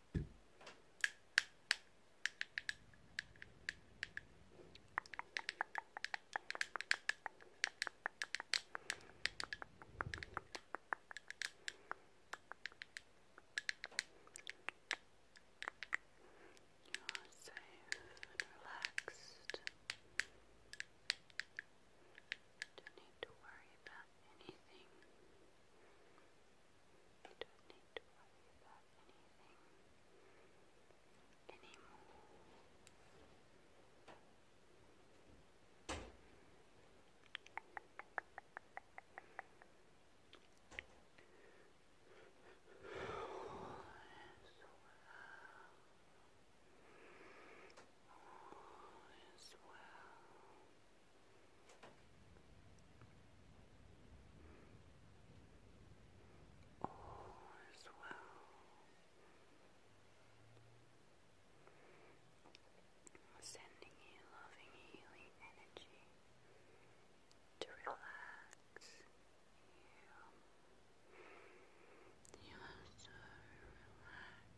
You're safe and relaxed. Don't need to worry about anything. You don't need to worry about anything anymore. All is well. All is well. All is well. Sending you loving, healing energy to relax You are so relaxed.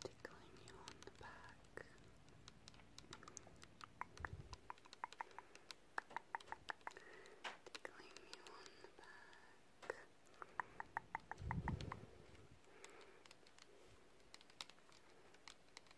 Tickling you on the back. Tickling you on the back.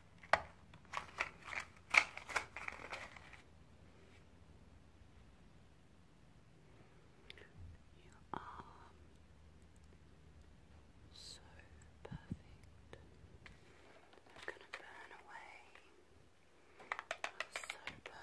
Your arm so perfect. I'm gonna burn away. so Perfect.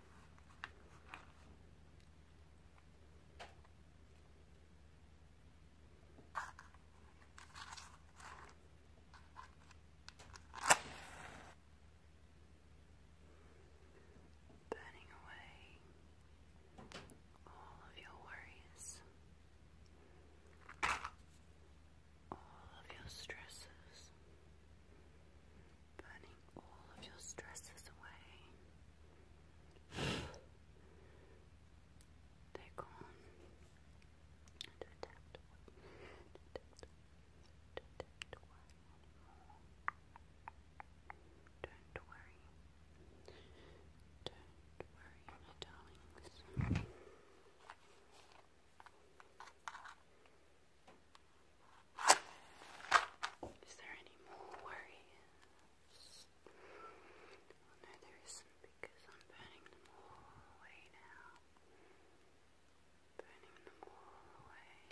Burning away all of your worries, all of your stresses, burning all of your stresses away. Take on Don't worry. Don't worry, my darlings. Is there any more worries? Oh, no, there isn't because I'm burning them all away now. Burning them all away.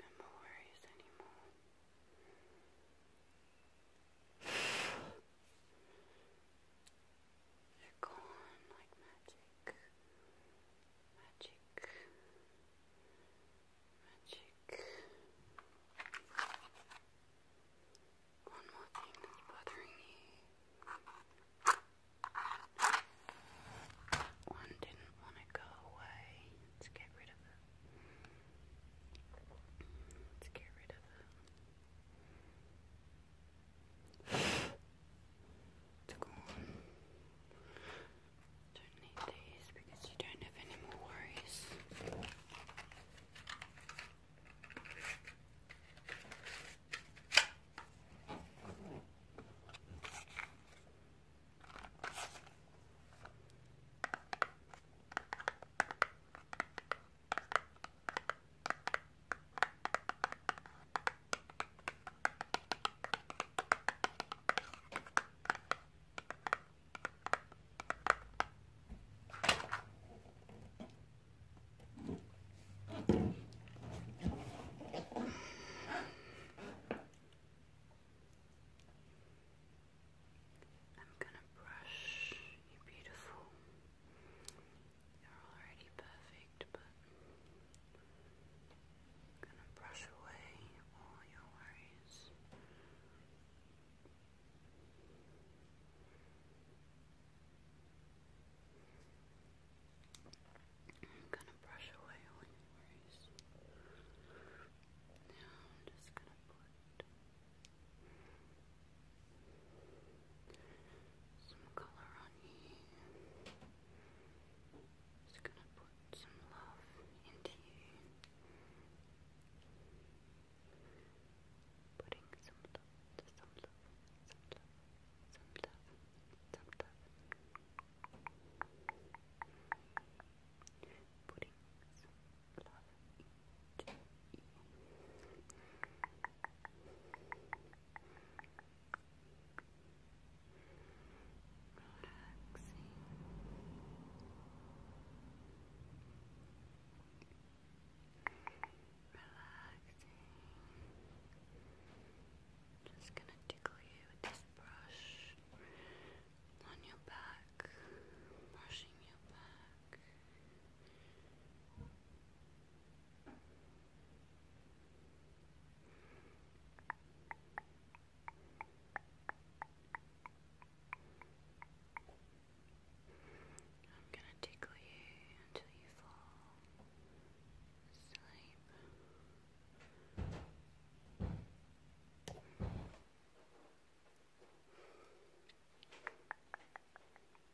No more worries anymore. They're gone like magic. Magic. Magic. One more thing that's bothering me. One didn't want to go away. Let's get rid of it. Let's get rid of it. Cool. Don't need these because you don't have any more worries. I'm going to brush your beautiful they're already perfect, but I'm gonna brush away all your worries. I'm gonna brush away all your worries. Now I'm just gonna put some color on you. Just gonna put some love into you. Putting some love, some love, some love, some love, some love. Putting some love into you. Relaxing. Relaxing. Just gonna tickle you with this brush on your back, brushing your back. I'm gonna tickle you until you fall asleep.